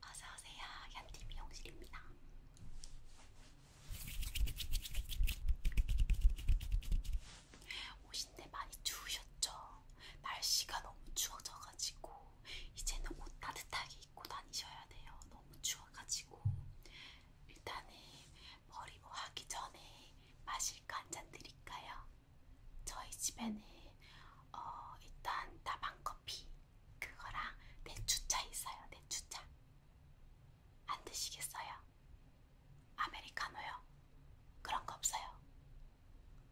어서오세요. 현티 미용실입니다. 오신 데 많이 추우셨죠? 날씨가 너무 추워져가지고 이제는 옷 따뜻하게 입고 다니셔야 돼요. 너무 추워가지고 일단은 머리 뭐 하기 전에 마실 거 한잔 드릴까요? 저희 집에는 어, 일단 다방커피 그거랑 대추차 있어요. 대추차. 안 드시겠어요? 아메리카노요? 그런 거 없어요.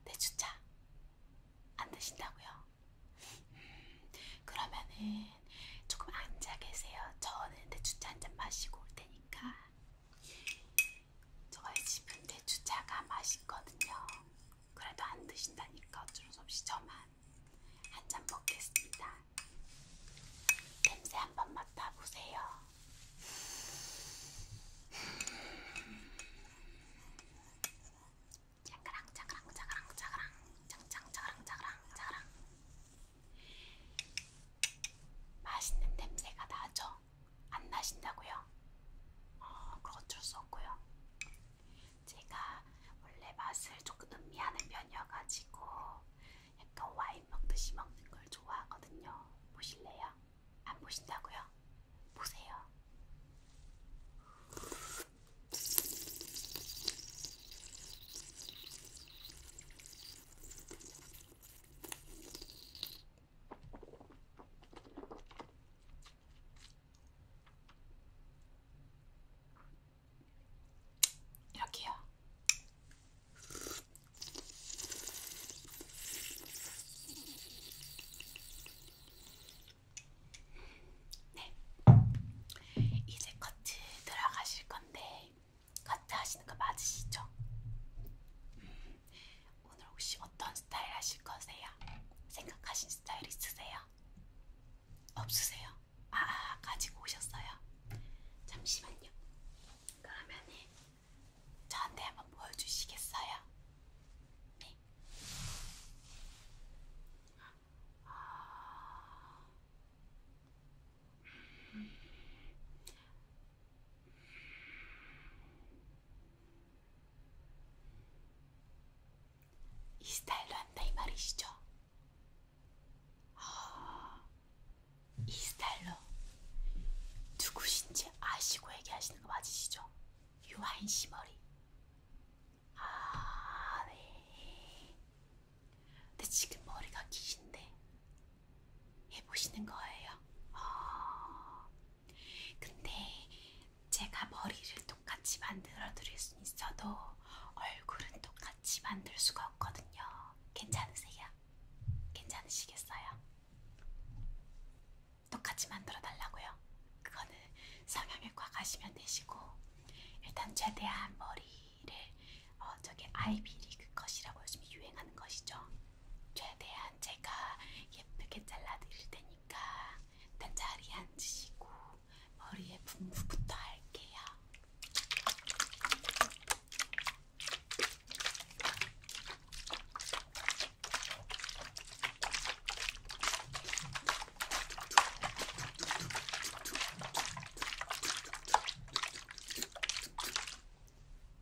대추차. 안 드신다고요? 음, 그러면은 조금 앉아 계세요. 저는 대추차 한 잔 마시고 올 테니까. 저희 집은 대추차가 맛있거든요. 그래도 안 드신다니까 어쩔 수 없이 저만 한 잔 먹겠습니다. 냄새 한번 맡아보세요. 자그랑 자그랑 자그랑 자그랑 장장 자그랑 자그랑 자그랑 맛있는 냄새가 나죠? 안 나신다고요? 어, 그거 어쩔 수 없고요. 제가 원래 맛을 조금 음미하는 편이어가지고 약간 와인 먹듯이 먹는 걸 좋아하거든요. 보실래요? 안 보신다고요? 보세요. 이렇게요. 네. 이제 커트 들어가실 건데 커트 하시는 거 맞으시죠? 음, 오늘 혹시 어떤 스타일 하실 거세요? 생각하신 스타일 있으세요? 있어요? 없으세요? 아, 아 가지고 오셨어요? 잠시만요. 그러면은 저한테 한번 보여주시겠어요? 네. 아... 음... 이 스타일로 한다 이 말이시죠? 아, 이 스타일로 누구신지 아시고 얘기하시는 거 맞으시죠? 유아인 씨 머리. 아, 네. 근데 지금 머리가 기신데 해보시는 거예요. 아, 근데 제가 머리를 똑같이 만들어 드릴 수 있어도 얼굴은 똑같이 만들 수가 없거든요. 괜찮으세요? 괜찮으시겠어요? 똑같이 만들어 달라고요? 그거는 성형외과 가시면 되시고 일단 최대한 머리를 어 저게 아이비리그 컷이라고 요즘 유행하는 것이죠. 최대한 제가 예쁘게 잘라 드릴 테니까 일단 자리에 앉으시고 머리에 분무부터 할게요.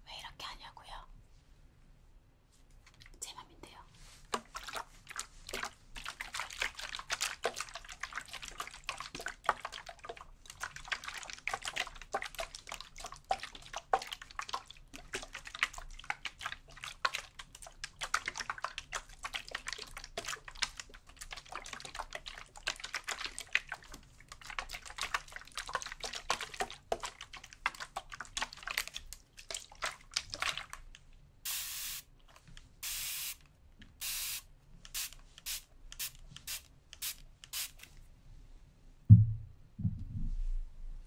왜 이렇게 하냐고요? 제 맘인데요.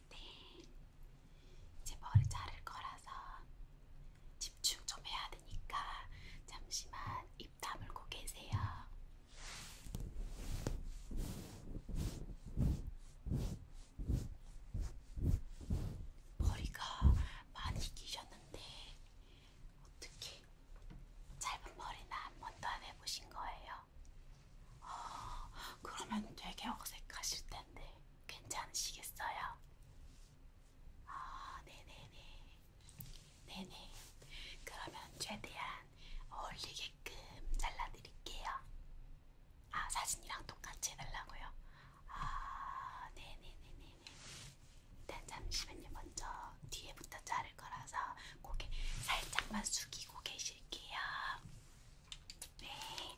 네, 이제 머리 자를 거라서 집중 좀 해야 되니까 잠시만 입 다물고 계세요. 네, 머리가 많이 기셨는데 어떻게 짧은 머리나 한 번도 안 해보신 거예요? 어, 그러면 되게 어색하실 텐데 괜찮으시겠어요? 아, 네네네. 네네. 그러면 최대한 어울리게끔 잘라드릴게요. 아, 사진이랑 똑같이 해달라고요? 아, 네네네네네. 네, 네, 네, 일단 잠시만요. 먼저 뒤에부터 자를 거라서 고개 살짝만 숙이고 계실게요. 네. 네,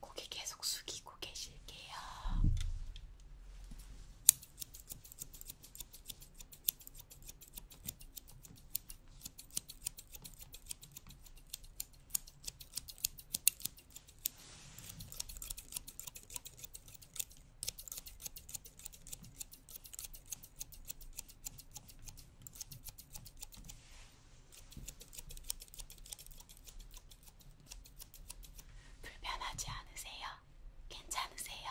고개 계속 숙이고 계실게요. 불편하지 않으세요? 괜찮으세요?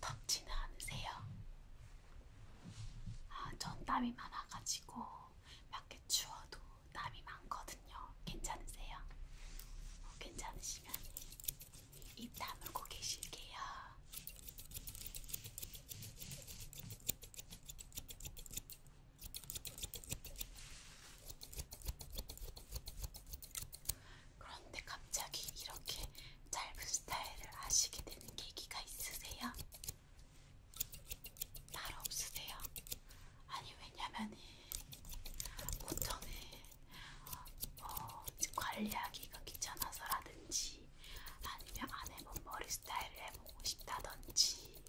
덥지는 않으세요? 아, 전 땀이 많아가지고 밖에 추워도 땀이 많거든요. 괜찮으세요? 어, 괜찮으시면 입 다물고 계실게요. 그런데 갑자기 이렇게 짧은 스타일을 하시게 되는 계기가 있으세요? 날 없으세요? 아니 왜냐면은 보통은 어, 관리하기가 귀찮아서라든지 아니면 안 해본 머리 스타일을 해보고 싶다든지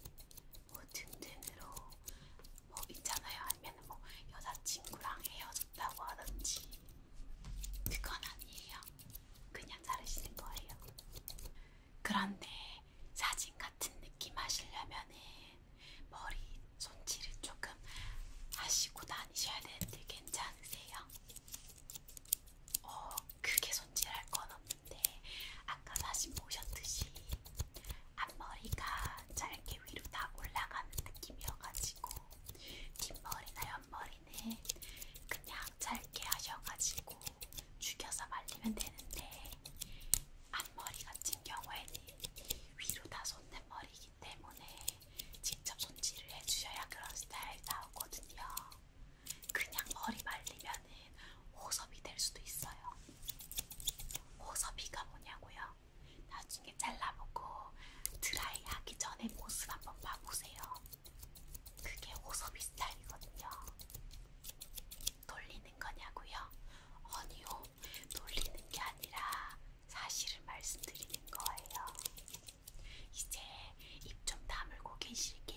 뭐 등등으로 뭐 있잖아요 아니면 뭐 여자친구랑 헤어졌다고 하든지 그건 아니에요 그냥 자르시는 거예요 그런데 사진 같은 느낌 하시려면은 머리 손질을 조금 하시고 다니셔야 되는데 괜찮으세요? 어, 크게 손질할 건 없는데 아까 사진 보셨듯이 앞머리가 짧게 위로 다 올라가는 느낌이어가지고 뒷머리나 옆머리는 그냥 짧게 하셔가지고 죽여서 말리면 되는데 앞머리 같은 경우에는 위로 다 솟는 머리이기 때문에 직접 손질을 해주셔야 그런 스타일 나오거든요. 그냥 머리 말리면은 호섭이 될 수도 있어요. 호섭이가 뭐냐고요? 나중에 잘라보고 드라이하기 전에 모습 한번 봐보세요. 그게 호섭이 스타일이거든요. 놀리는 거냐고요? 아니요, 놀리는 게 아니라 사실을 말씀드리는 거예요. 이제 입 좀 다물고 계실게요.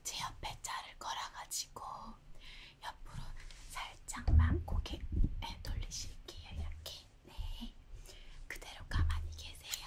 이제 옆에 자를 걸어가지고 옆으로 살짝만 고개 네, 돌리실게요. 이렇게. 네. 그대로 가만히 계세요.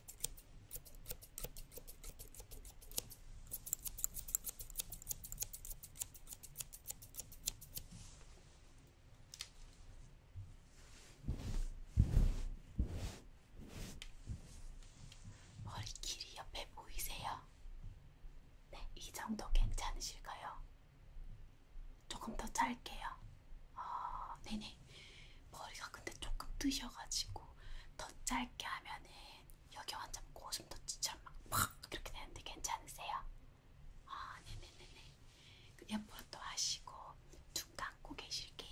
머리 길이 옆에 보이세요? 네, 이 정도 괜찮으실까요? 조금 더 찰게요. 아, 네네. 머리가 근데 조금 뜨셔가지고 더 짧게 하면은 여기 완전 고슴 도치처럼 막팍 이렇게 되는데 괜찮으세요? 아, 네네네네. 그 옆으로 또 하시고 눈 감고 계실게요.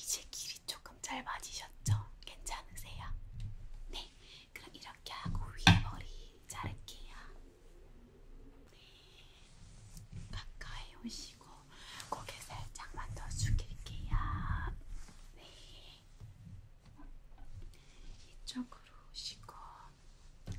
이제 길이 조금 짧아지셨죠? 괜찮으세요? 네. 네, 그럼 이렇게 하고 위에 머리 자를게요. 네, 가까이 오시고 고개 살짝만 더 숙일게요. 네, 이쪽으로 오시고. 네.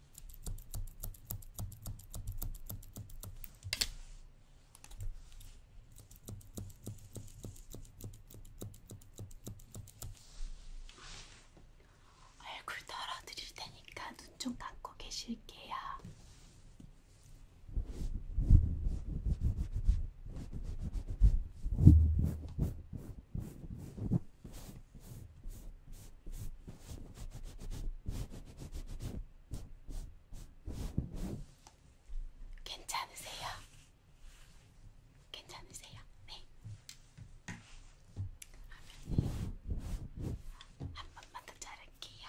얼굴 덜어드릴 테니까 눈 좀 감고 계실게요. 괜찮으세요? 괜찮으세요? 네. 그러면 한 번만 더 자를게요.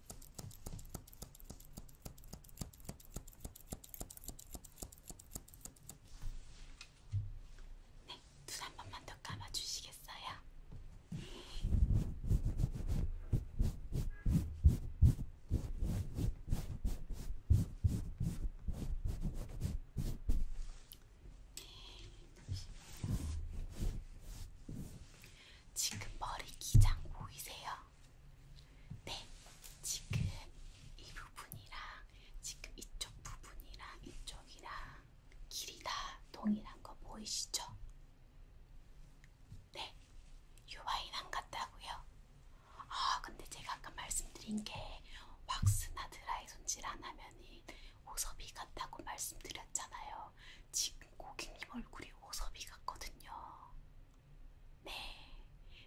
네, 눈한 번만 더 감아주시겠어요? 네, 지금 머리 기장 보이세요? 네, 지금 이 부분이랑 지금 이쪽 부분이랑 이쪽이랑 길이 다 동일한 거 보이시죠? 네, 요 와인 안 같다고요? 아, 근데 제가 아까 말씀드린 게 왁스나 드라이 손질 안 하면은 오섭이 같다고 말씀드렸잖아요. 지금 고객님 얼굴이 오섭이 같거든요. 네,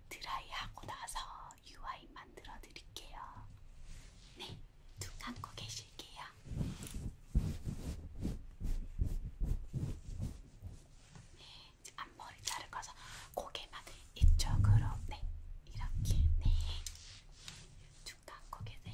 드라이하고 나서 UI 만들어 드릴게요. 네, 눈 감고 계실게요. 네, 앞머리 자르고서 고개만 이쪽으로, 네, 이렇게, 네, 눈 감고 계세요.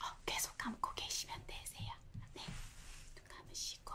어, 계속 감고 계시면 되세요. 네, 눈 감으시고.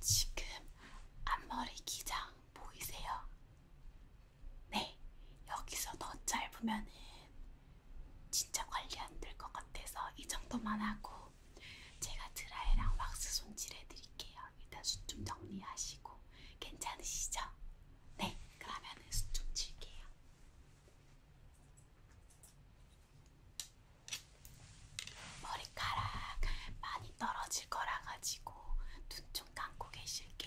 지금 앞머리 기장 보이세요? 네, 여기서 더 짧으면은 진짜 관리 안 될 것 같아서 이 정도만 하고 제가 드라이랑 왁스 손질해 드릴게요. 일단 숱좀 정리하시고 괜찮으시죠? 네, 그러면은 숱좀 칠게요. 머리카락 많이 떨어질 거라 가지고 눈좀 감고 계실게요.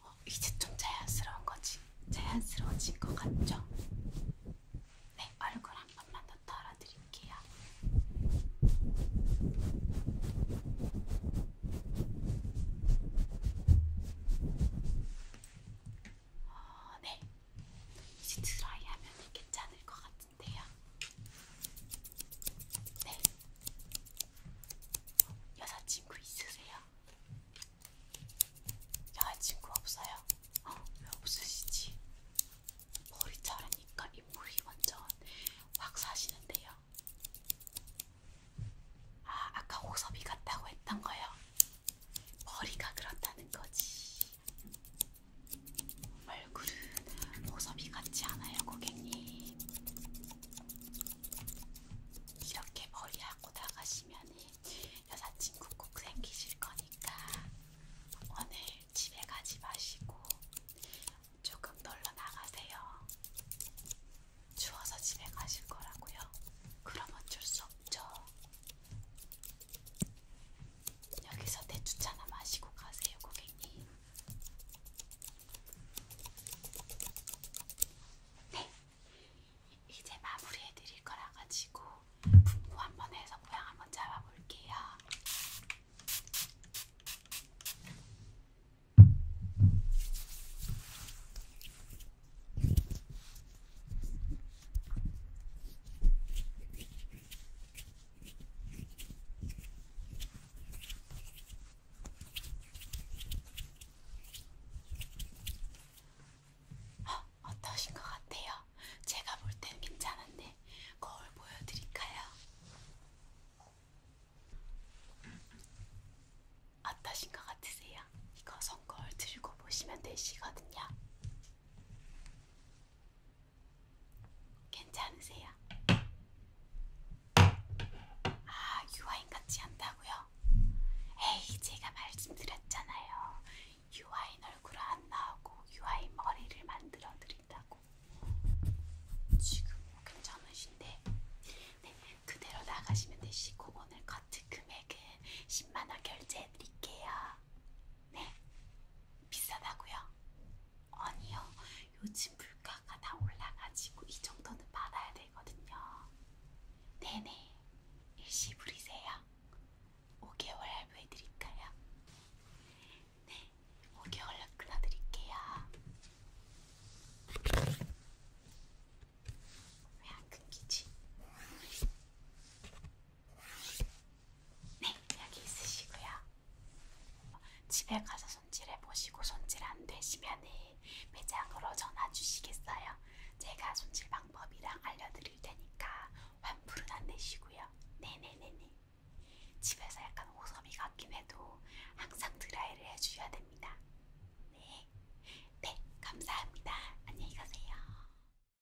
어, 이제 좀 자연스러운 거지, 자연스러워진 것 같죠? 네, 얼굴 한 번만 더 털어드릴게요. 어, 네. 이제 드라이하면 괜찮을 것 같은데요. 네. 여자친구 있으세요? 여자친구 없어요? 어, 왜 없으시지? 머리 자르니까 인물이 완전 확 사시는데요. 아, 아까 호섭이 같다고 했던 거요. 머리가 그렇다는 거지. 얼굴은 보섭이 같지 않아요, 고객님. 이렇게 머리하고 나가시면 여자친구 꼭 생기실 거니까 오늘 집에 가지 마시고 조금 놀러 나가세요. 추워서 집에 가실 거라고요. 그럼 어쩔 수 없죠. 여기서 대추차나 마시고 가세요, 고객님. 네, 이제 마무리해 드릴 거라 가지고 분무 한번 해서 모양 한번 잡아볼게요. 어, 어떠신 것 같아요? 제가 볼 땐 괜찮은데 거울 보여드릴까요? 어떠신 것 같으세요? 이거 손거울 들고 보시면 되시거든요. 괜찮으세요? 아, 유아인 같지 않다고요? 에이, 제가 말씀드렸잖아요. 유아인 얼굴 안 나오고 유아인 머리를 만들어 드린다고. 지금 괜찮으신데? 네, 그대로 나가시면 되시고 오늘 커트 금액은 10만 원 결제해 드릴게요. 네, 비싸다고요? 아니요, 요즘 물가가 다 올라가지고 이 정도는 받아야 되거든요. 네네, 일시 부리세요. 5개월 할부해드릴까요? 네, 5개월로 끊어드릴게요. 왜 안 끊기지? 네, 여기 있으시고요. 집에 가서 손질해 보시고 손질 안 되시면은 매장으로 전화 주시겠어요. 제가 손질 방법이랑 알려드릴 테니까 환불은 안 내시고요. 네네네네. 집에서 약간 오섬이 같긴 해도 항상 드라이를 해주셔야 됩니다. 네, 네 감사합니다. 안녕히 가세요.